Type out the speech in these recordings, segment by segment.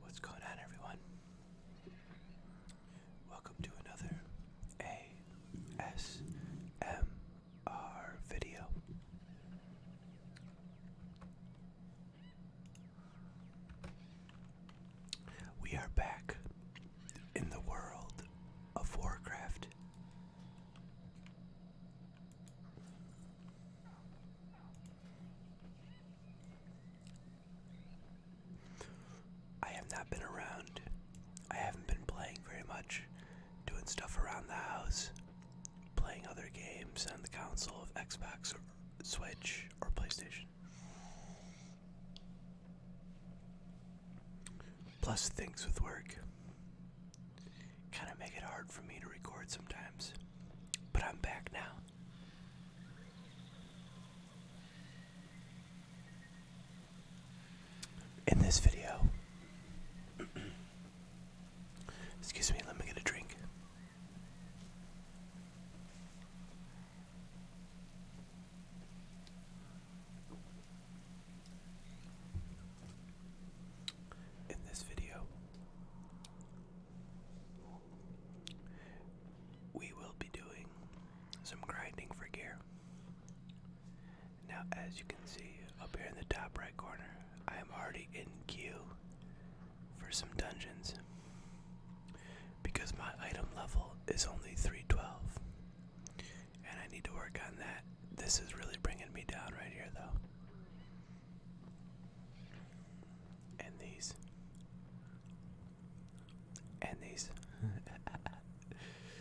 What's going on, everyone? Welcome to another ASMR video. We are back in the world of Warcraft. I have not been around. I haven't been playing very much, doing stuff around the house, playing other games on the console of Xbox or Switch or PlayStation. Plus things with work kind of make it hard for me to record sometimes. But I'm back now. In this video, excuse me, let me get a drink. In this video, we will be doing some grinding for gear. Now, as you can see up here in the top right corner, I am already in queue for some dungeons because my item level is only 312. And I need to work on that. This is really bringing me down right here, though and these and these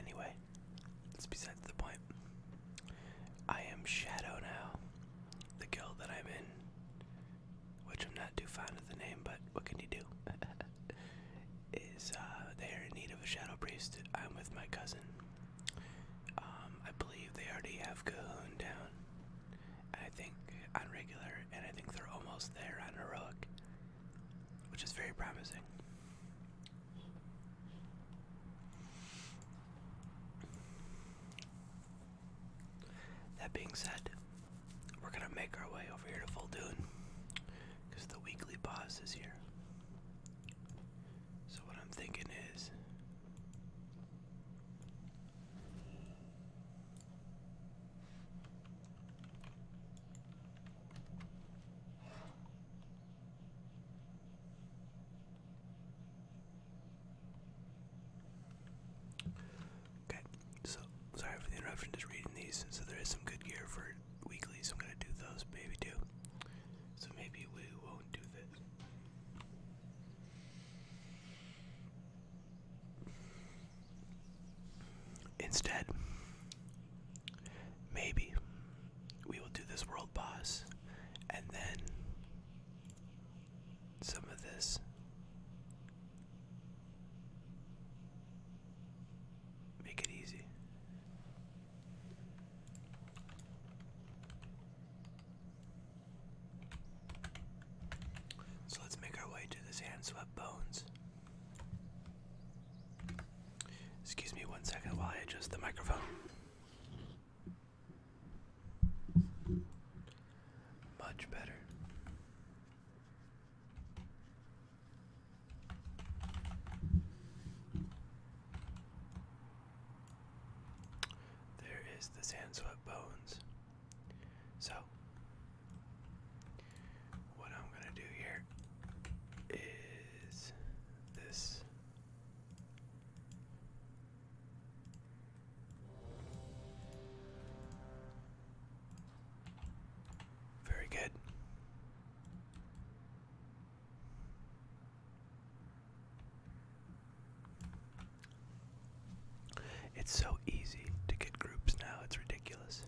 anyway it's besides the point i am shadow now the guild that i'm in which i'm not too fond of the name but what can you do is uh, they are in need of a shadow priest i'm with my cousin um, I believe they already have Cahoon down. I think on regular, and I think they're almost there on heroic, which is very promising. That being said, we're gonna make our way over here to Full Dune because the weekly boss is here. So, what I'm thinking is okay. So, sorry for the interruption. Just reading these. So, there is some good gear for weekly. So, I'm gonna do those, maybe too. So, maybe we will Instead, maybe we will do this world boss and then some of this. Make it easy. So let's make our way to this hand swept bones. Excuse me one second while I adjust the microphone. Much better. There is the sand swept bones. So, what I'm going to do here is this. Very good. It's so easy to get groups now, it's ridiculous.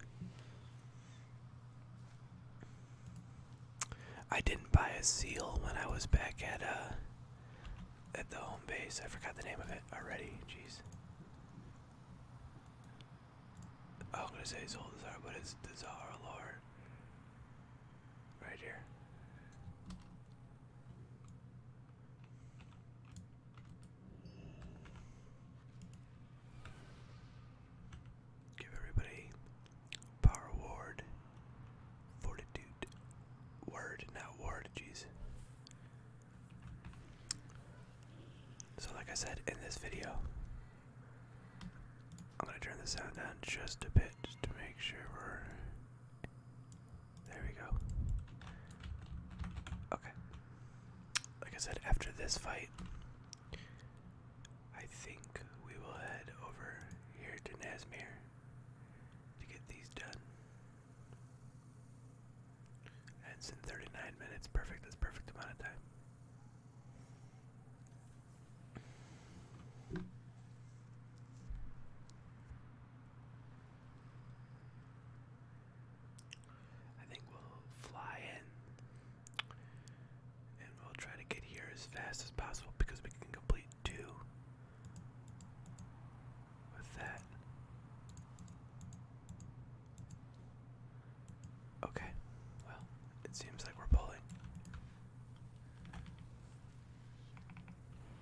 I didn't buy a seal when I was back at uh at the home base. I forgot the name of it already. Jeez. I'm gonna say Zoldazar, but it's Dazar Zara Lord right here. Give everybody power ward, fortitude, word, not ward, jeez. So, like I said in this video, I'm gonna turn the sound down just a bit just to make sure we're. There we go. Okay. Like I said, after this fight, I think we will head over here to Nazmir to get these done. And in 39 minutes. Perfect. That's perfect amount of time. I think we'll fly in and we'll try to get here as fast as possible because we can complete two with that. Okay, well, it seems like we're pulling.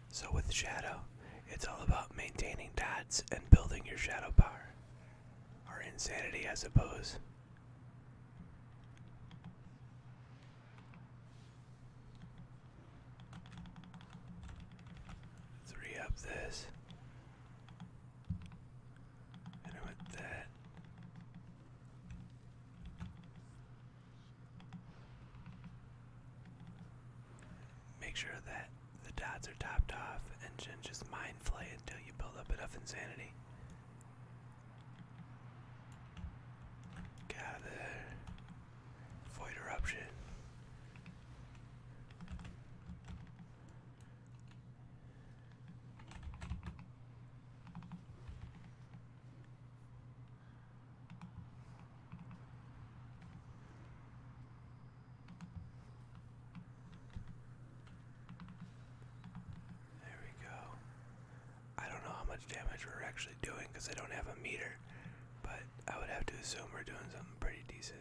So, with shadow, it's all about maintaining dots and building your shadow power. Or insanity, I suppose. Three up this. And I want that. Make sure that the dots are topped off and just mind flay until you build up enough insanity. Get out Void eruption. There we go. I don't know how much damage we're actually doing because I don't have a meter, but I would have to assume we're doing something pretty decent.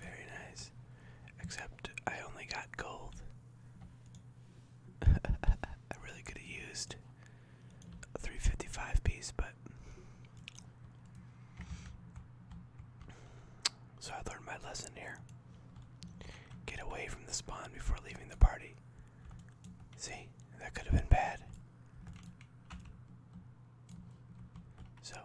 Very nice. Except I only got gold. I really could have used 355 piece, but so I learned my lesson here. Get away from the spawn before leaving the party. See, that could have been bad. So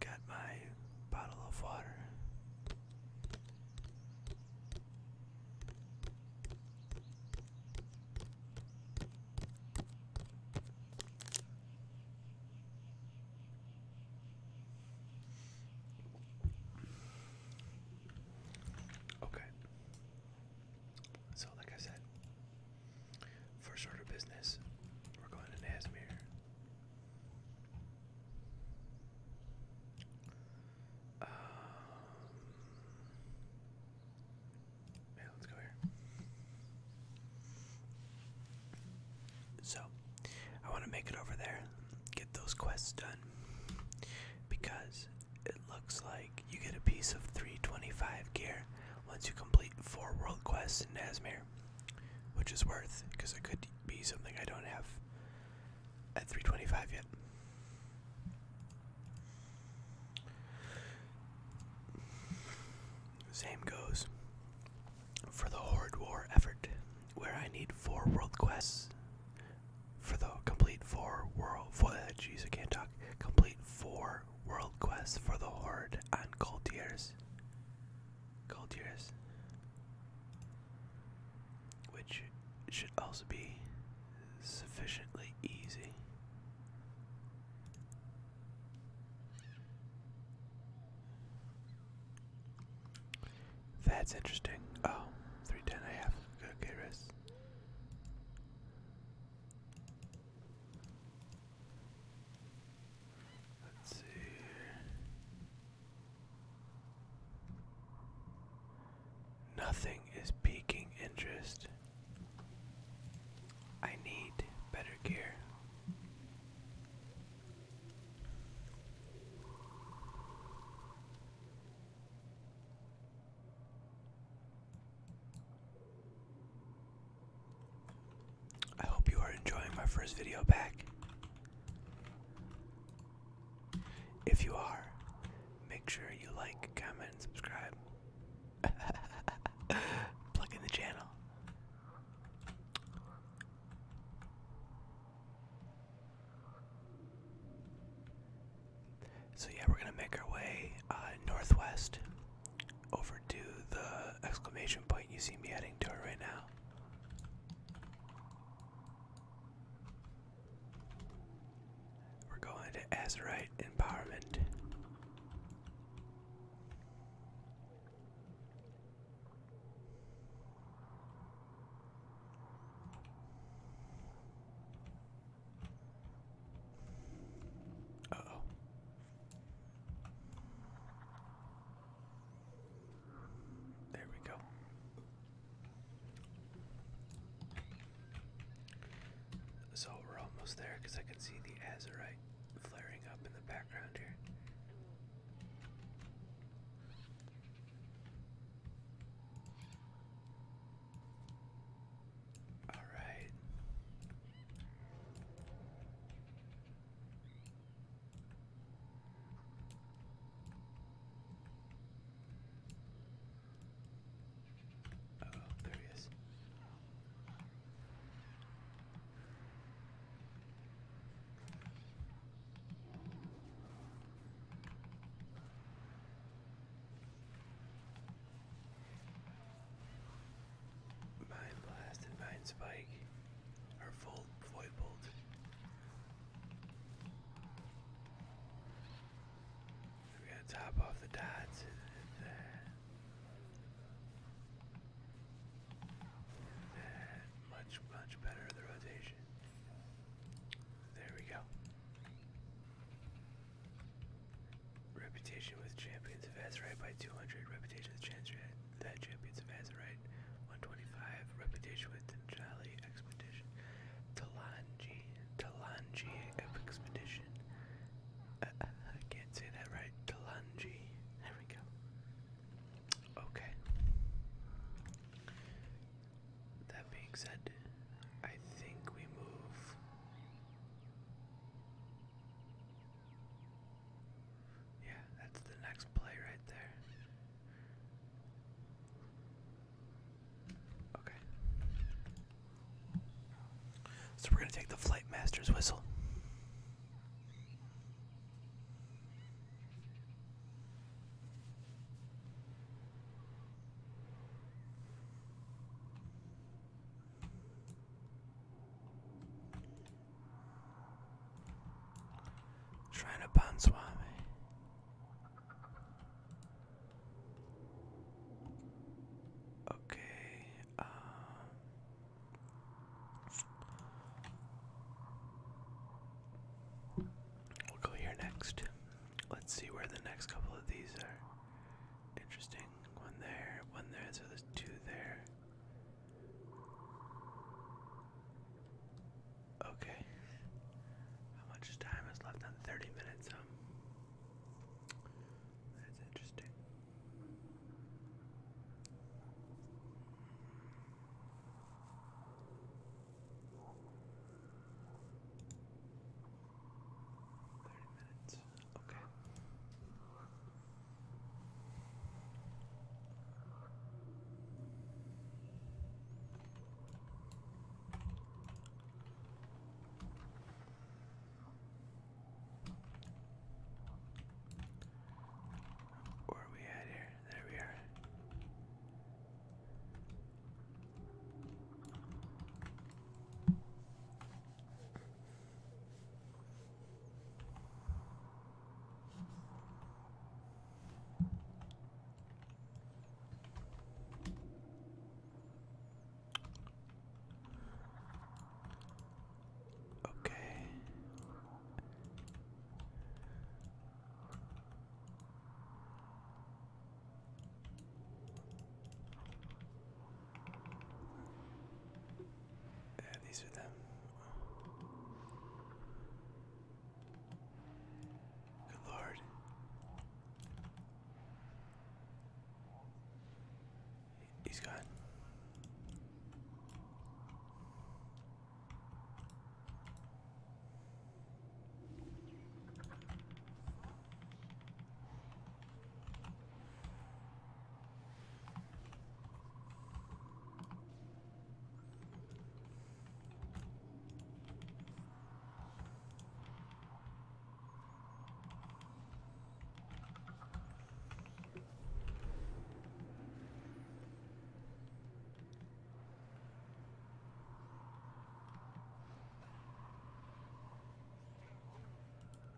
Got my bottle of water. Okay. So, like I said, first order of business, we're going to Nazmir. Um, yeah, let's go here. So, I want to make it over there, get those quests done, because it looks like you get a piece of 325 gear once you complete four world quests in Nazmir, which is worth, because it could be something I don't have at 325 yet. Same goes for the Horde War effort, where I need four world quests for the complete four world. For, uh, jeez, I can't talk. Complete four world quests for the Horde and Cold Tears. Cold Tears, which should also be sufficiently easy. That's interesting. Oh, 310 I have. Okay, rest. Let's see. Nothing is piquing interest. I need better gear. I hope you are enjoying my first video back. If you are, make sure you like, comment, and subscribe. Plug in the channel. So yeah, we're gonna make our way uh, northwest over to the exclamation point you see me heading to it right now. We're going to Azerite Empowerment. Uh oh. There we go. So we're almost there because I can see the azurite flaring up in the background here. All right. Oh, there he is. Mine Blast and Mine Spike are full void bolt. We're to top off the dots uh, much, much better the rotation. There we go. Reputation with Champions of Azerite by 200. Reputation with Chance that Champions of Azerite 125. Reputation with Tinjali Expedition. Talanji. Talanji Expedition. Uh, uh, I can't say that right. Talanji. There we go. Okay. That being said, I think we move. Yeah, that's the next play right there. Okay. So we're going to take the Flight Master's whistle. Trying to Panswami. Okay, um We'll go here next. Let's see where the next couple of these are. Interesting. One there, one there, so there's two there. Okay. How much time is left on 30 minutes? that's interesting. Thirty minutes. Okay. Where are we at here? There we are. Okay. Yeah, uh, these are them. Good lord. He's gone.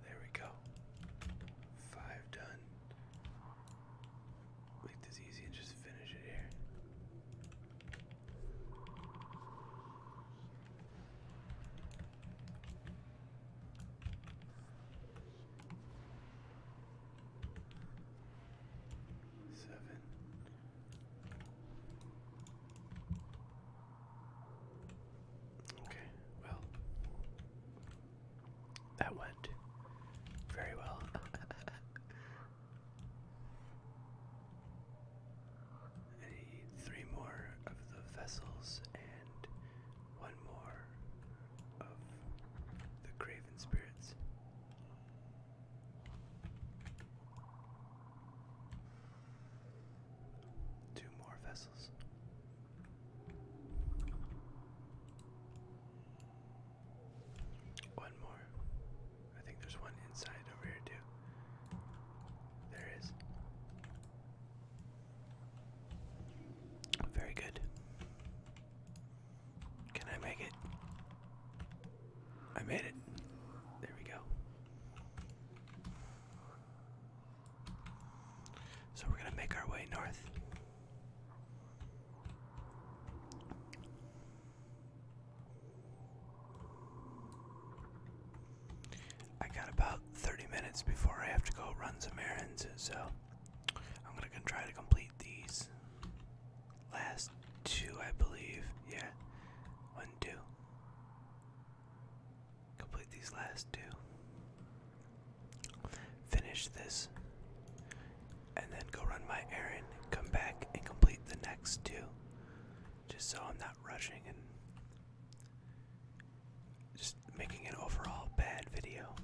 There we go. Five done. Make this easy and just finish it here seven. Okay, well, that went very well. need three more of the vessels and one more of the craven spirits. Two more vessels. One more. I think there's one inside over here, too. There is. Very good. Can I make it? I made it. There we go. So we're going to make our way north. I got about 30 minutes before I have to go run some errands, so I'm gonna try to complete these last two, I believe. Yeah, one, two. Complete these last two. Finish this, and then go run my errand. Come back and complete the next two, just so I'm not rushing and just making an overall bad video.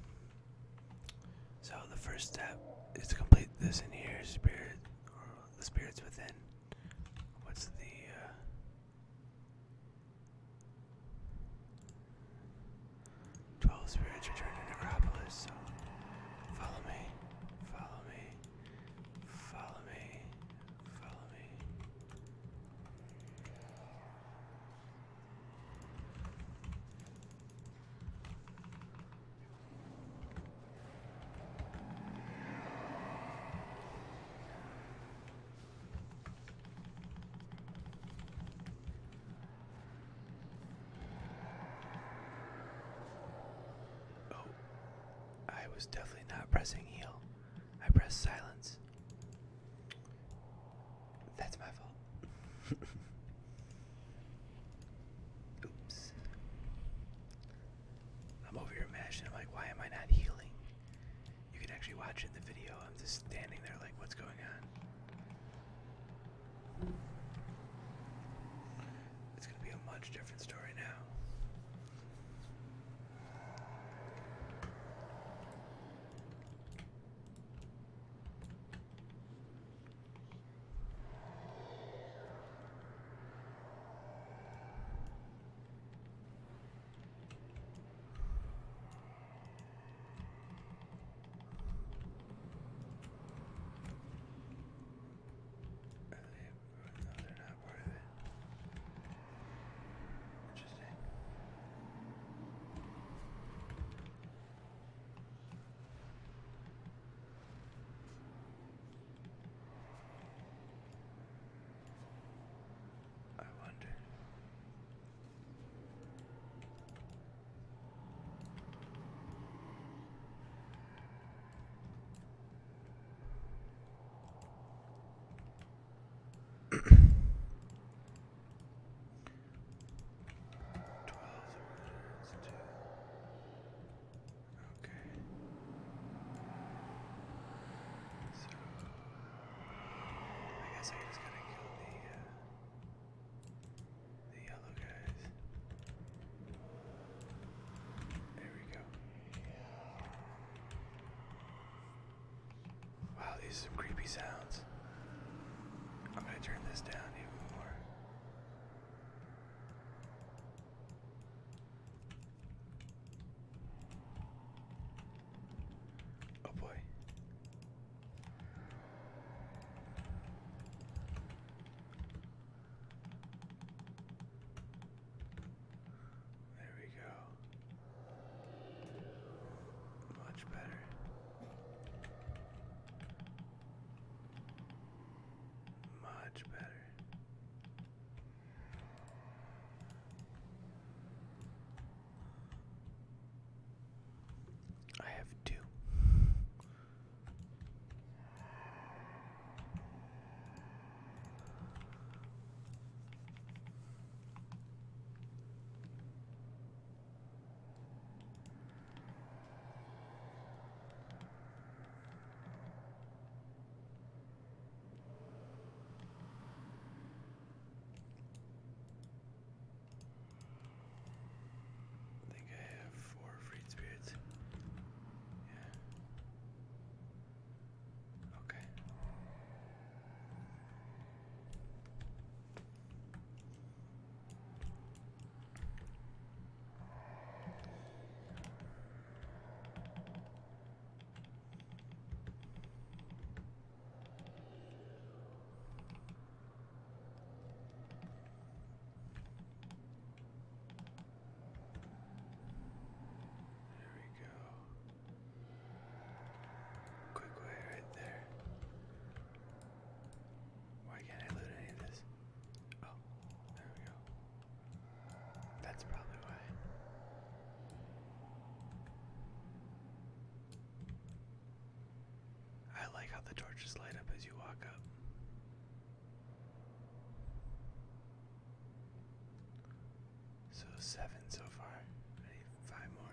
So the first step is to complete this in here, spirit or the spirits within. What's the uh Twelve spirits return to Necropolis, so follow me, follow me, follow me, follow me. Oh, I was definitely not pressing heal. I pressed silence. That's my fault. Oops. I'm over here imagining, like, why am I not healing? You can actually watch in the video. I'm just standing there, like, what's going on? It's gonna be a much different story now. No, they're not worth it. Interesting. I wonder. Twelve orders to Okay. So I guess I just gotta kill the uh, the yellow guys. There we go. Wow, these are some creepy sounds. I'm gonna turn this down even more. Oh boy. There we go. Much better. Much better. I have two. I think I have four free spirits. Yeah. Okay. There we go. Quick way right there. Why can't I loot any of this? Oh, there we go. That's probably why. I like how the torches light up as you walk up. So seven so far. five more.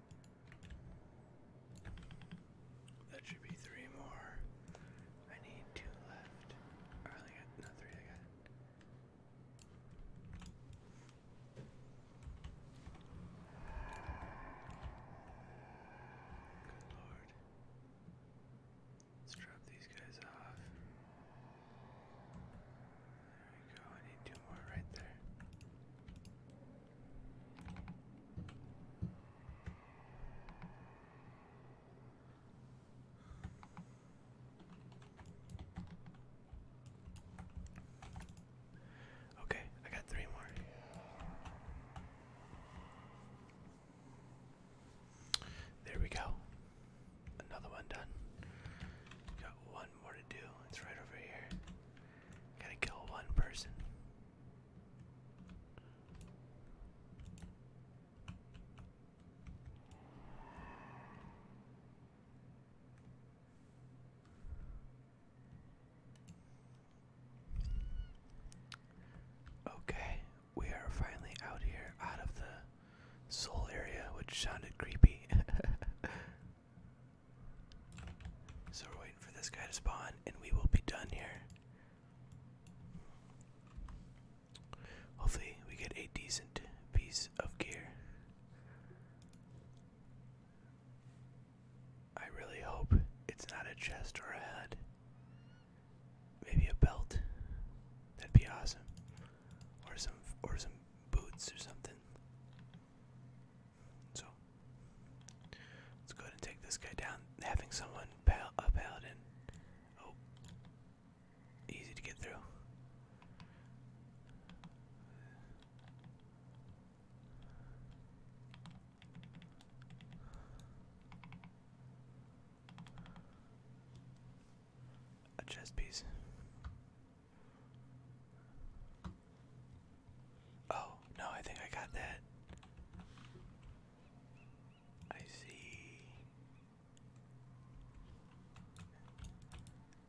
That should be three more. I need two left. Or oh, I got no three I got. Good lord. Let's drop these guys off. There we go, need two more right there. Okay, I got three more. There we go. Another one done. Got one more to do. It's right over here. Gotta kill one person. Okay, we are finally out here, out of the soul area, which sounded creepy. So we're waiting for this guy to spawn and we will be done here. Hopefully, we get a decent piece of gear. I really hope it's not a chest or a head. Maybe a belt. That'd be awesome. Or some or some boots or something. So let's go and take this guy down. Having someone pal a paladin. Oh, easy to get through. A chest piece. Oh, no, I think I got that. I see.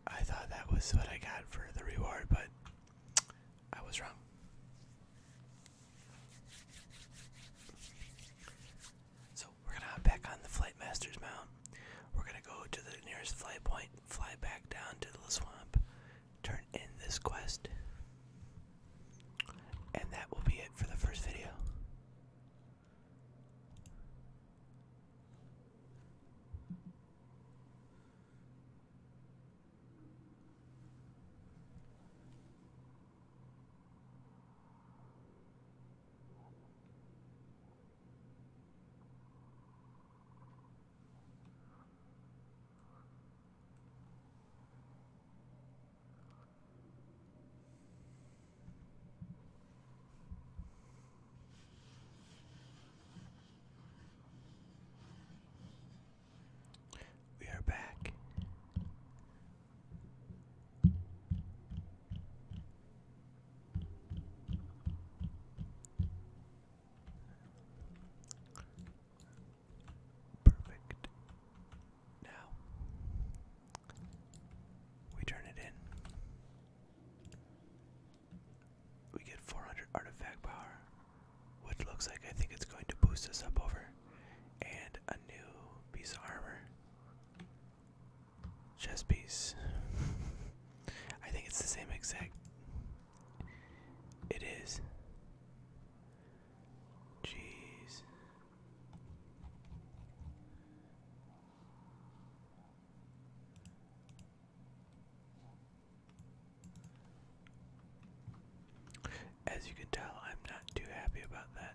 I thought that was what I got for the reward, but I was wrong. So we're gonna hop back on the Flight Master's Mount. We're gonna go to the nearest flight point, fly back down to the swamp, turn in this quest. And that will be it for the first video. We are back. Perfect. Now we turn it in. We get 400 artifact power, which looks like I think it's going to boost us up over, and a new piece of armor. Chest piece. I think it's the same exact it is. Jeez. As you can tell, I'm not too happy about that.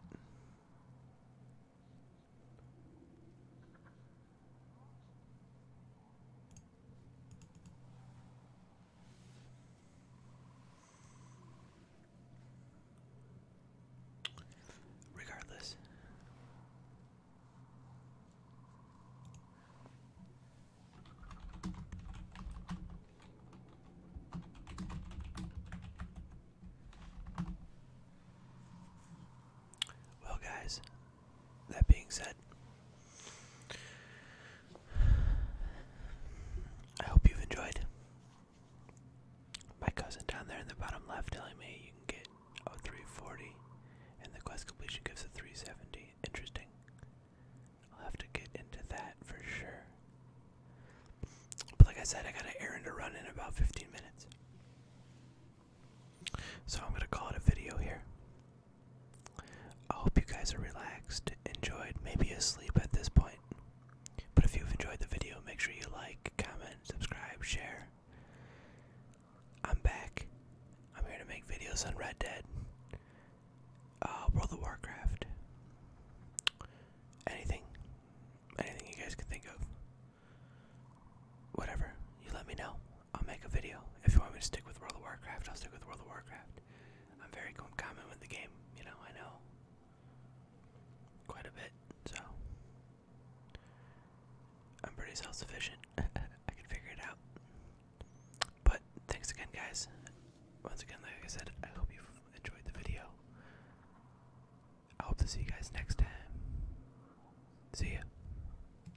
Regardless. Well, guys, that being said, I hope you've enjoyed. My cousin down there in the bottom left telling me you can get a 340 and the quest completion gives a 370. Interesting. I'll have to get into that for sure. But like I said, I got an errand to run in about 15 minutes. So I'm going to call it a video here. I hope you guys are relaxed, enjoyed, maybe asleep at this point. But if you've enjoyed the video, make sure you like, comment, subscribe, share. I'm back. I'm here to make videos on Red Dead, uh, World of Warcraft, anything, anything you guys can think of. Whatever, you let me know. I'll make a video. If you want me to stick with World of Warcraft, I'll stick with World of Warcraft. I'm very common with the game, you know, I know quite a bit, so I'm pretty self sufficient. I can figure it out. But thanks again, guys. Once again, like I said, I hope you've enjoyed the video. I hope to see you guys next time. See ya.